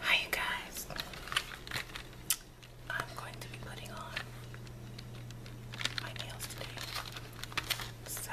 Hi you guys. I'm going to be putting on my nails today. So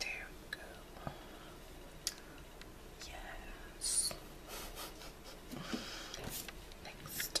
There Yes. Next.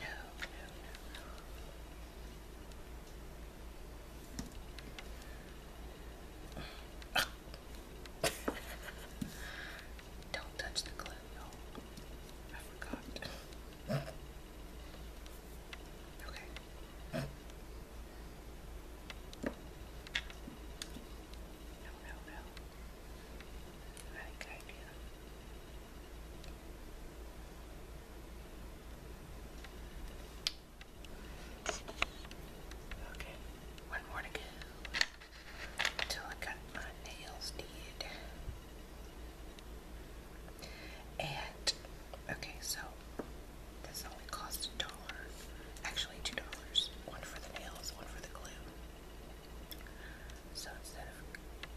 No, no, no. Don't touch the glue, y'all. I forgot. Okay. No, no, no. I think Okay, one more to go until I got my nails did. And okay, so this only cost a dollar. Actually, two dollars. One for the nails, one for the glue. So instead of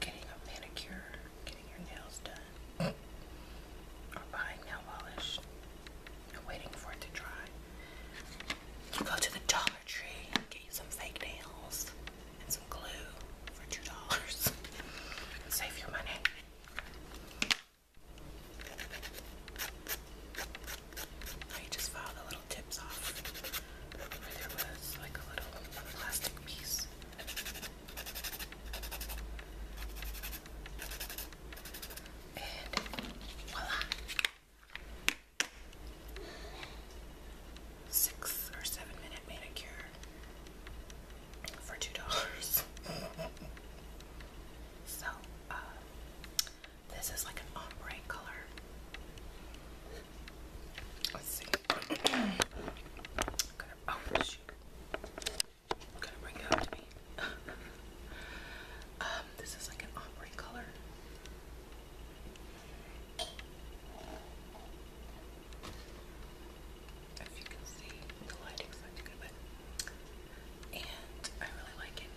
getting a manicure, getting your nails done, or buying nail polish and waiting for it to dry, go to the Dollar Tree get you some fake nails and some glue for two dollars save your money. I just filed the little tips off there was like a little plastic piece. And voila! Six or seven minute manicure for two dollars. so, uh, this is like an ombre color. Let's see. i to oh shoot! i to bring it up to me. um, this is like an ombre color if you can see, the lighting's not good, but and I really like it.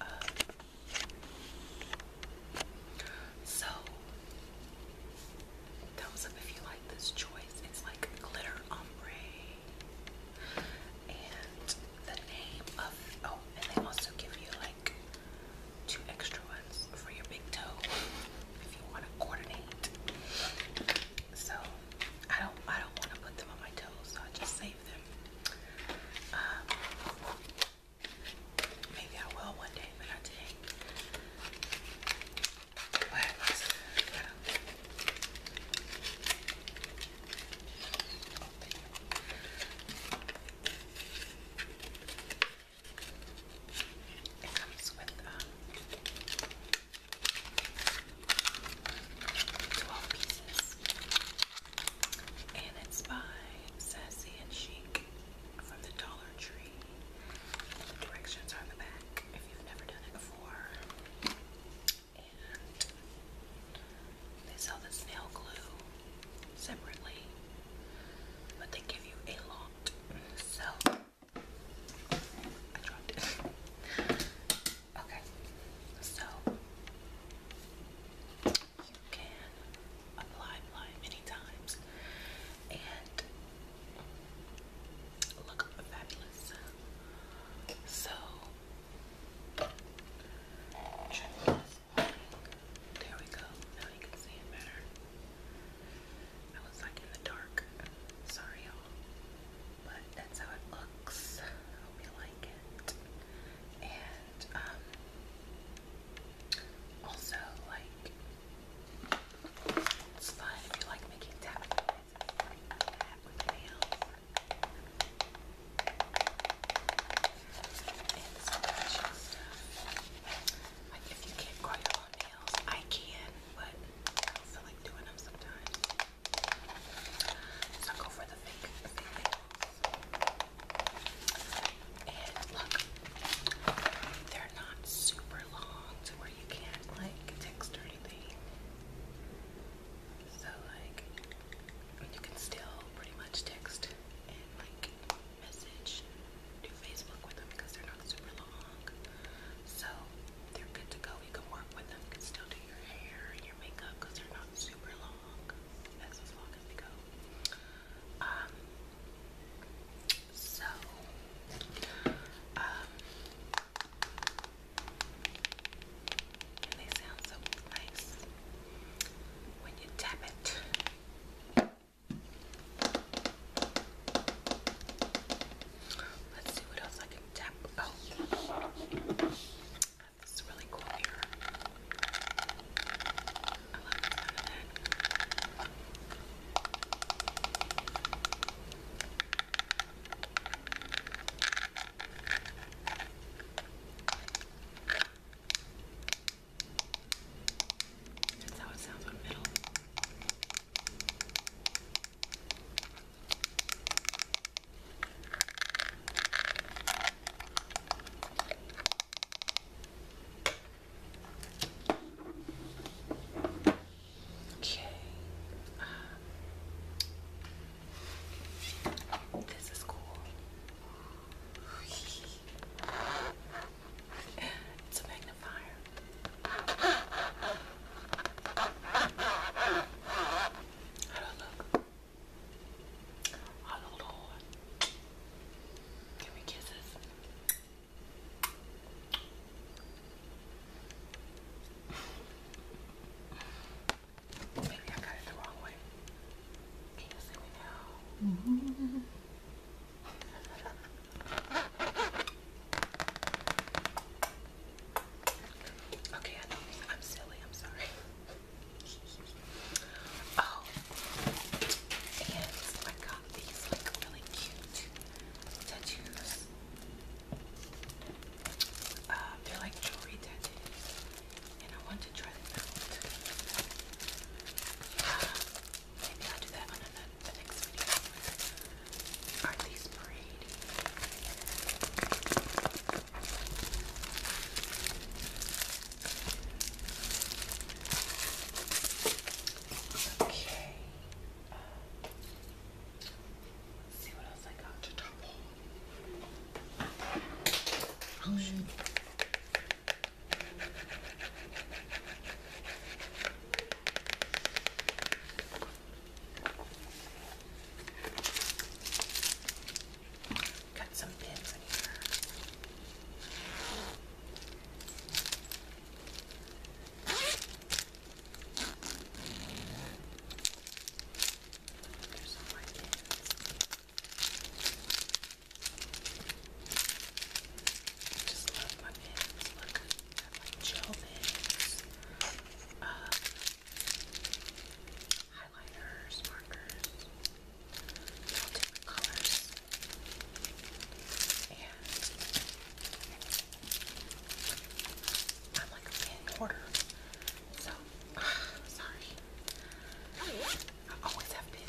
Um, so thumbs up if you like this choice. It's like glitter ombre, and the name of oh, and they also give you like two extra ones for your big toe if you want to coordinate. So I don't I don't want to put them on my toes, so I just save them. Um, maybe I will one day, but not today. But gotta it comes with um, 12 pieces. And it's by Sassy and Chic from the Dollar Tree. directions are on the back if you've never done it before. they sell this nail glue separately, but they give you a lot. So I okay, so you can apply, apply many times and look fabulous. So, there we go. Now you can see it better. I was like in the dark. Sorry, y'all. But that's how it looks. hope you like it. And, um, also, like, it's fun if you like making tap noises like that with And some if you can't quite I can, but I not like doing them sometimes. So I go for the fake, fake nails. And look, they're not super long to where you can't like text or anything. So like, you can still pretty much text and like message to Facebook with them because they're not super long. So they're good to go. You can work with them. You can still do your hair and your makeup because they're not super long. as long as they go. Um, so, um, they sound so nice when you tap it. Let's see what else I can tap. Oh, this really cool here. I love the That's how it sounds on middle. Okay. Uh, this is cool. it's a magnifier. How do I look? I look old. Give me kisses. Maybe I got it the wrong way. Can you see me now? -hmm. Okay, I know I'm silly. I'm sorry. Oh, and I got these really cute tattoos. Uh, they're like jewelry tattoos, and I want to try them out. Uh, maybe I'll do that on another the next video are these braid. Okay. Um, let's see what else I got to top on. Oh, shoot. Got some pins in here. There's all my pins. I just love my pins. Look got like gel pens, uh, highlighters, markers, different colors, and I'm like a fan order, so sorry. I always have been.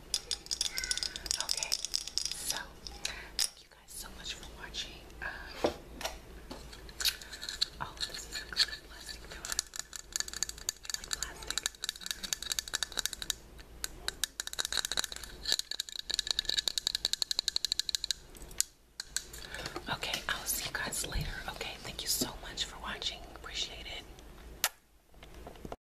Okay, so thank you guys so much for watching. Uh, oh, okay, I'll see you guys later. Okay, thank you so much for watching. Appreciate it.